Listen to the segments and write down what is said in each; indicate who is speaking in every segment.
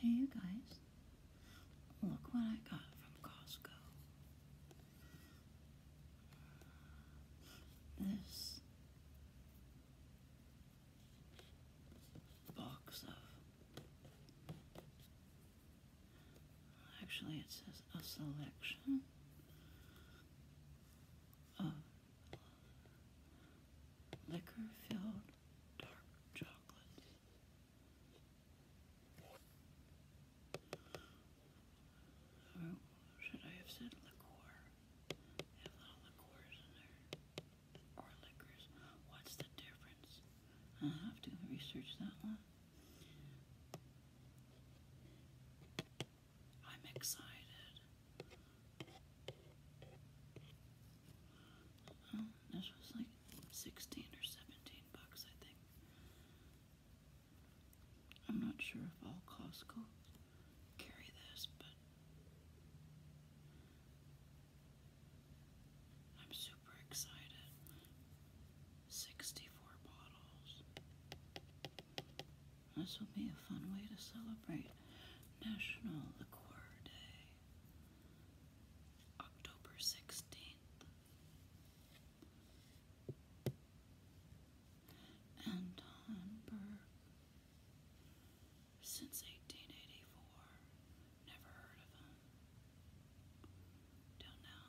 Speaker 1: Hey, guys. Look what I got from Costco. This box of. Actually, it says a selection of liquor filled dark chocolate. should I have said liqueur? They have little liqueurs in there. Or liquors. What's the difference? i have to research that one. I'm excited. Oh, this was like 16 or 17 bucks, I think. I'm not sure if all Costco carry this, but I'm super excited. 64 bottles. This will be a fun way to celebrate National Liquor Day, October 16th. Anton Berg, since 1884, never heard of him. Till now.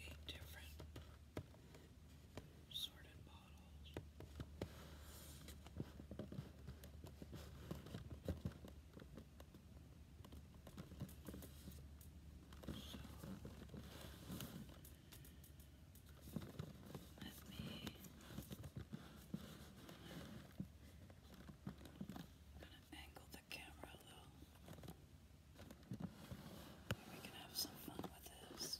Speaker 1: eight different sorted bottles. So let me I'm angle the camera a little. We can have some fun with this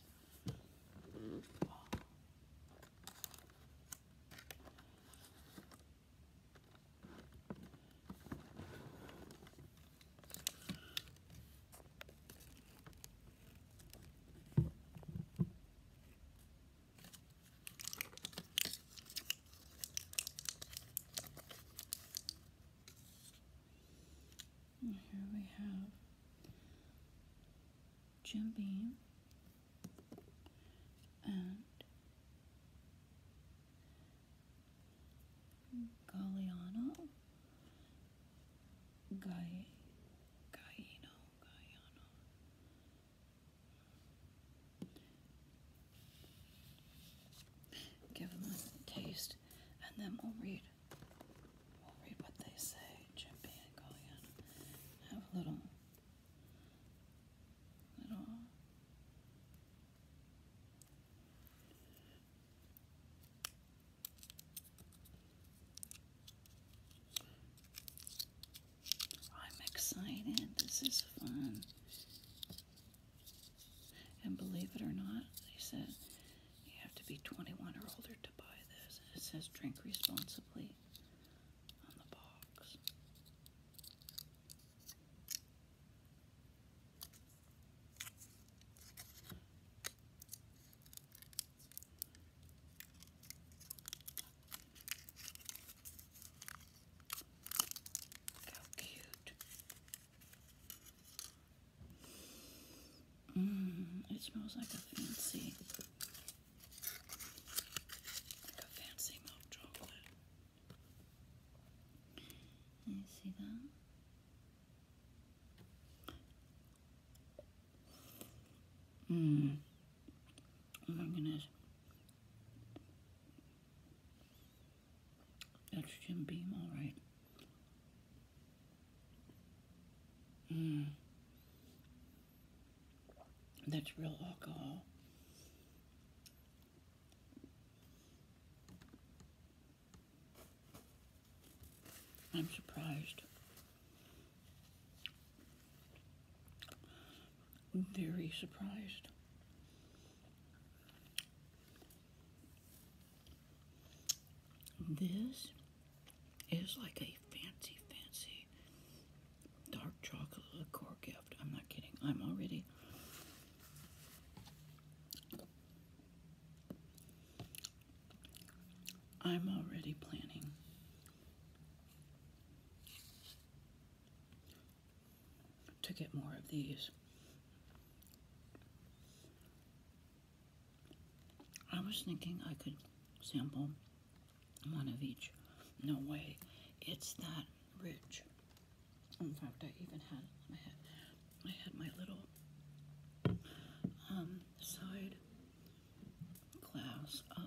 Speaker 1: here we have Jim Beam and Galliano Gai Gaiano Gaiano Give them a taste, and then we'll read. We'll read what they say. Chimpy and Kalyan have a little, little. I'm excited. This is fun. And believe it or not, they said you have to be 21 or older to buy this. it says drink responsibly on the box. How cute. Mmm, it smells like a fancy, like a fancy milk chocolate. You see that? Mmm. Oh my goodness. That's Jim Beam, all right. Hmm. That's real alcohol. I'm surprised very surprised. This is like a fancy, fancy dark chocolate liqueur gift. I'm not kidding. I'm already. I'm already planning to get more of these. I was thinking I could sample one of each. No way. It's that rich. In fact, I even had I had, I had my little um, side glass of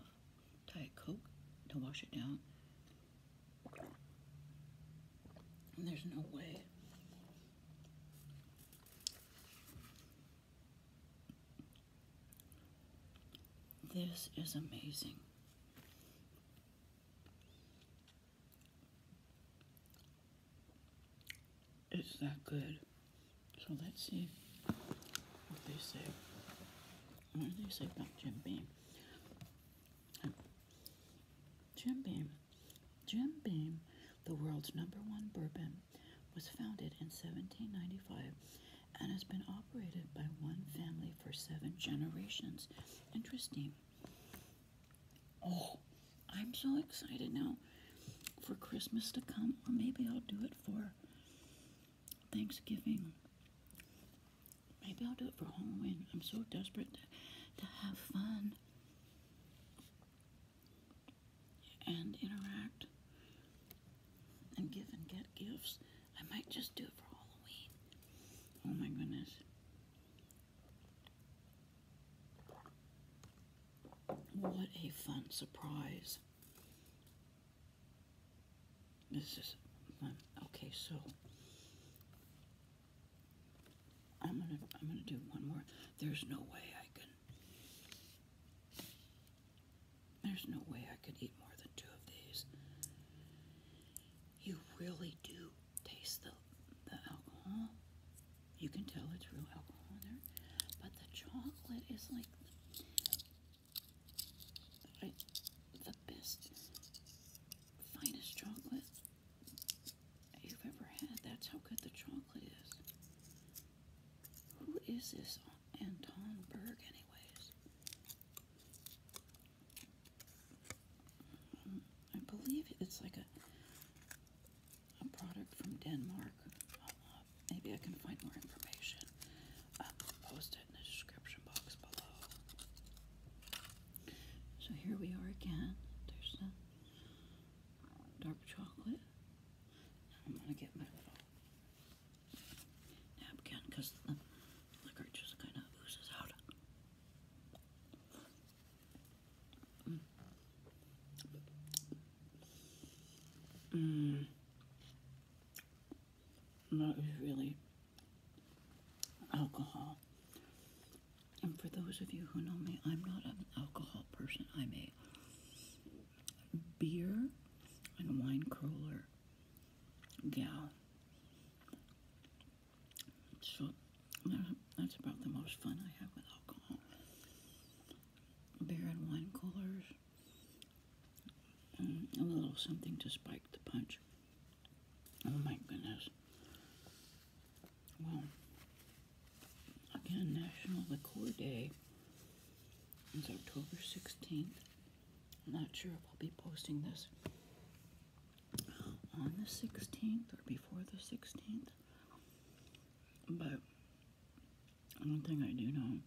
Speaker 1: Diet Coke to wash it down. And there's no way. This is amazing. It's that good. So let's see what they say. What do they say about Jim Beam? Jim Beam, Jim Beam, the world's number one bourbon, was founded in 1795 and has been operated by one family for seven generations. Interesting. Oh, I'm so excited now for Christmas to come, or maybe I'll do it for Thanksgiving. Maybe I'll do it for Halloween. I'm so desperate to, to have fun and interact and give and get gifts. I might just do it for Halloween. Oh my goodness. What a fun surprise. This is fun. Um, okay. So I'm gonna I'm gonna do one more. There's no way I can. There's no way I could eat more than two of these. You really do taste the the alcohol. You can tell it's real alcohol in there, but the chocolate is like the best, finest chocolate you've ever had. That's how good the chocolate is. Who is this Anton Berg, anyways? Um, I believe it's like a a product from Denmark. Uh, maybe I can find more information post it in the description box below. So here we are again. There's the dark chocolate. I'm gonna get my little napkin because the liquor just kind of oozes out. Mm. mm not really alcohol. And for those of you who know me, I'm not an alcohol person. I'm a beer and wine cooler gal. So that's about the most fun I have with alcohol. Beer and wine coolers, mm, a little something to spike the punch. Oh my goodness. Well, again, National Liqueur Day is October 16th. not sure if I'll be posting this on the 16th or before the 16th, but one thing I do know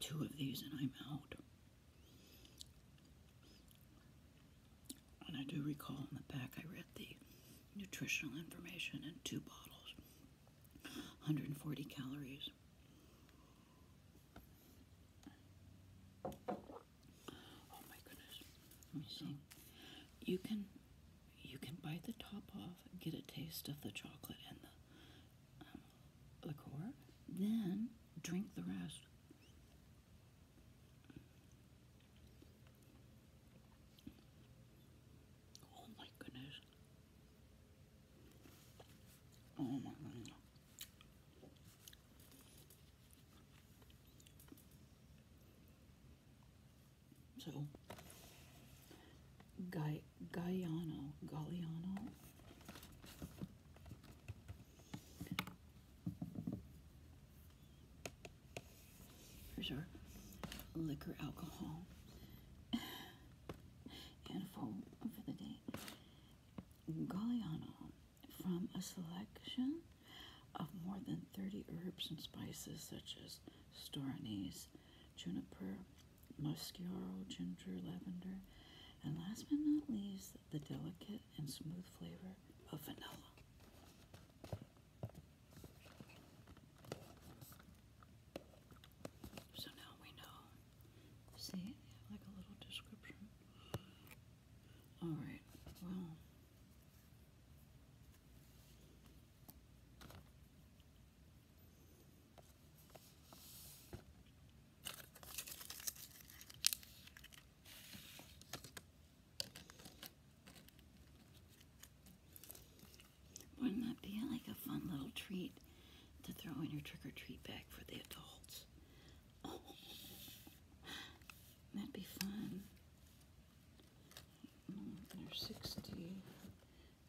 Speaker 1: Two of these and I'm out. And I do recall in the back I read the nutritional information in two bottles, 140 calories. Oh my goodness. Let me see. You can you can bite the top off, get a taste of the chocolate and the liqueur, then drink the rest. Oh my goodness. Oh my goodness. So Gai Gaiano, Galliano. Here's our liquor alcohol handful for the day. Galliano from a selection of more than 30 herbs and spices such as star juniper, Mosquero ginger lavender, and last but not least, the delicate and smooth flavor of vanilla. So now we know. See, like a little description. Alright, well. Wouldn't that be like a fun little treat to throw in your trick or treat bag for the adults? that'd be fun. There's mm, 60.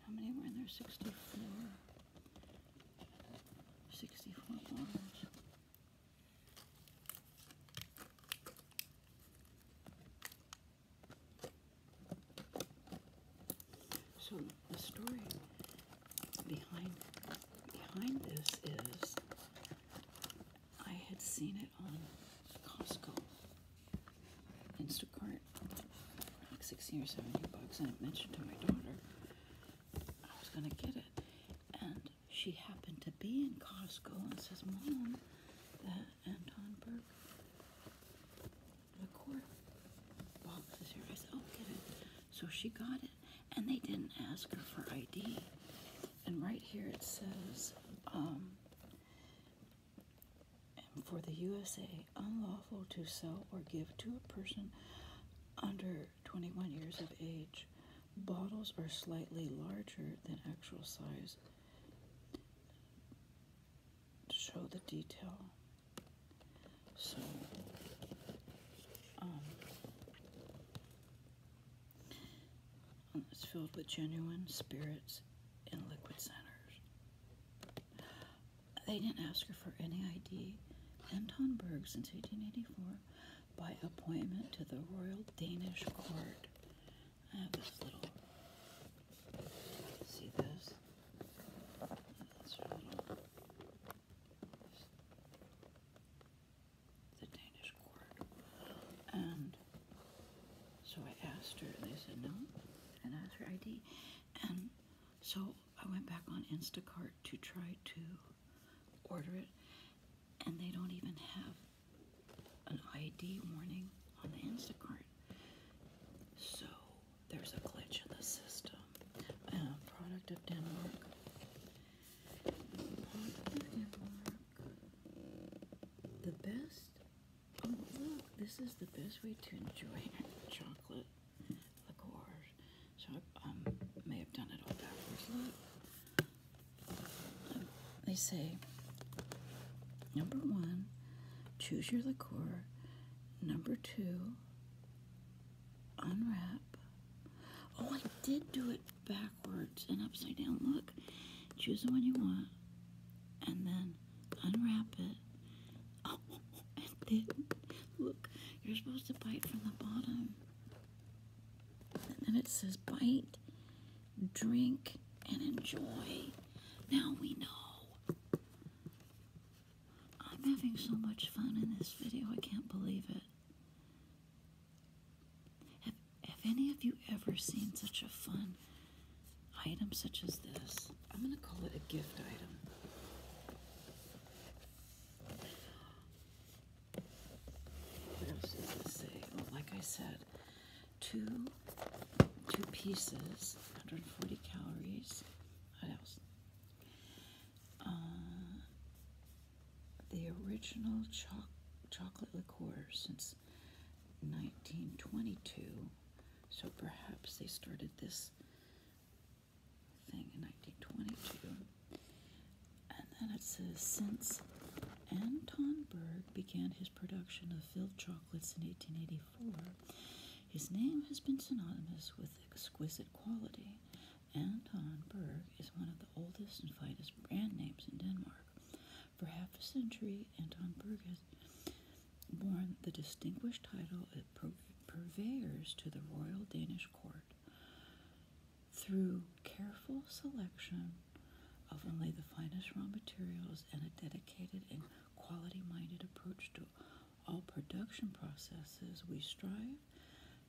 Speaker 1: How many were in there? 64. 64 orders. So the story behind behind this is I had seen it on Costco, Instacart, like 60 or 70 bucks, and I mentioned to my daughter I was going to get it. And she happened to be in Costco and says, Mom, that Anton Berg liqueur box is here. I said, Oh, get it. So she got it, and they didn't ask her for ID. And right here it says, um, and for the USA unlawful to sell or give to a person under 21 years of age. Bottles are slightly larger than actual size. To show the detail. So, um, it's filled with genuine spirits and liquid centers. They didn't ask her for any ID. Anton Berg, since 1884, by appointment to the Royal Danish Court. I have this little. See this? The Danish Court. And so I asked her, they said no, and asked her ID. And so I went back on Instacart to try to order it, and they don't even have an ID warning on the Instacart. So there's a glitch in the system. product of Denmark. Product of Denmark. The best. Oh look, this is the best way to enjoy chocolate liqueurs. So I um, may have done it all backwards. they say number one, choose your liqueur. Number two, unwrap. Oh, I did do it backwards and upside down. Look, choose the one you want, and then unwrap it. Oh, and then look, you're supposed to bite from the bottom. And then it says bite, drink, and enjoy. Now we know. I'm having so much fun in this video, I can't believe it. Have, have any of you ever seen such a fun items such as this. I'm going to call it a gift item. What else does it say? Oh, like I said, two, two pieces, 140 calories. What else? Uh, the original choc chocolate liqueur since 1922. So perhaps they started this thing in 1922. And then it says since Anton Berg began his production of filled chocolates in 1884, his name has been synonymous with exquisite quality. Anton Berg is one of the oldest and finest brand names in Denmark. For half a century, Anton Berg has borne the distinguished title of purveyors to the royal Danish court. Through careful selection of only the finest raw materials and a dedicated and quality minded approach to all production processes, we strive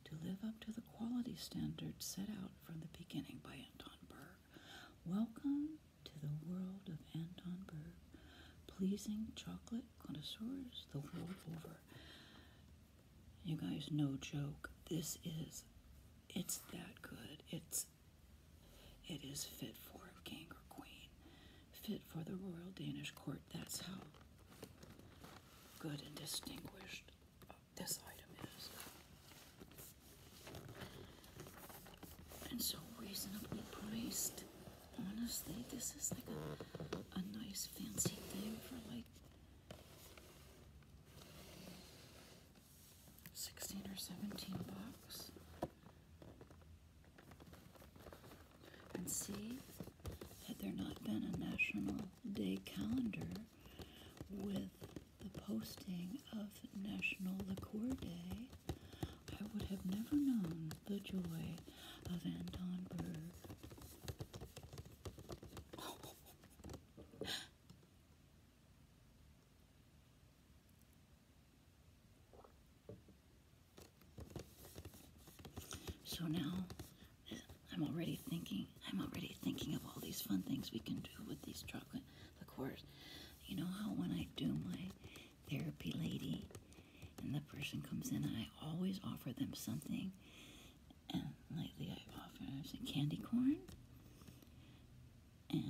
Speaker 1: to live up to the quality standards set out from the beginning by Anton Berg. Welcome to the world of Anton Berg. Pleasing chocolate connoisseurs the world over. You guys, no joke. This is, it's that good. It's, it is fit for a king or queen, fit for the royal Danish court. That's how good and distinguished this item is. And so reasonably priced honestly, this is like a, a nice fancy thing for like 16 or 17 bucks. And see, had there not been a National Day calendar with the posting of National Liqueur Day, I would have never known the joy so now I'm already thinking, I'm already thinking of all these fun things we can do with these chocolate liqueurs. You know how when I do my therapy lady and the person comes in I always offer them something and lately I've offered i candy corn and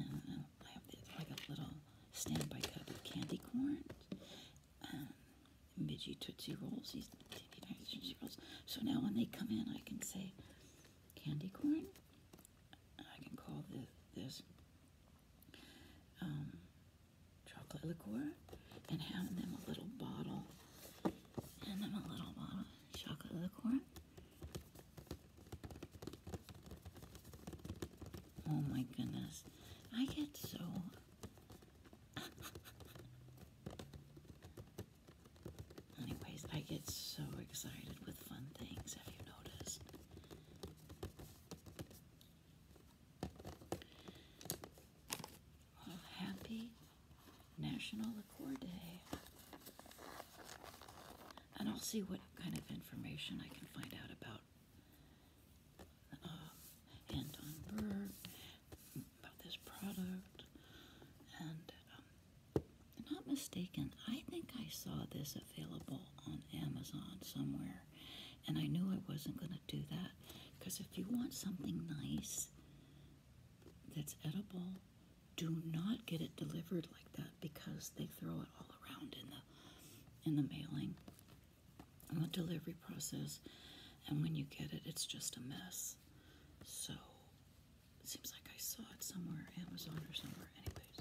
Speaker 1: I have like a little standby cup of candy corn um, midgy tootsie rolls these tootsie rolls so now when they come in I can say candy corn I can call this um, chocolate liqueur and having them a little bottle and then a little bottle of chocolate liqueur. Oh my goodness. I get so anyways, I get so excited with fun things, have you noticed? happy National Accord Day. And I'll see what kind of information I can find out about uh, Anton Berg, about this product. And um, I'm not mistaken, I think I saw this available on Amazon somewhere. And I knew I wasn't going to do that because if you want something nice that's edible, do not get it delivered like that because they throw it all around in the in the mailing and the delivery process and when you get it it's just a mess so it seems like I saw it somewhere Amazon or somewhere anyways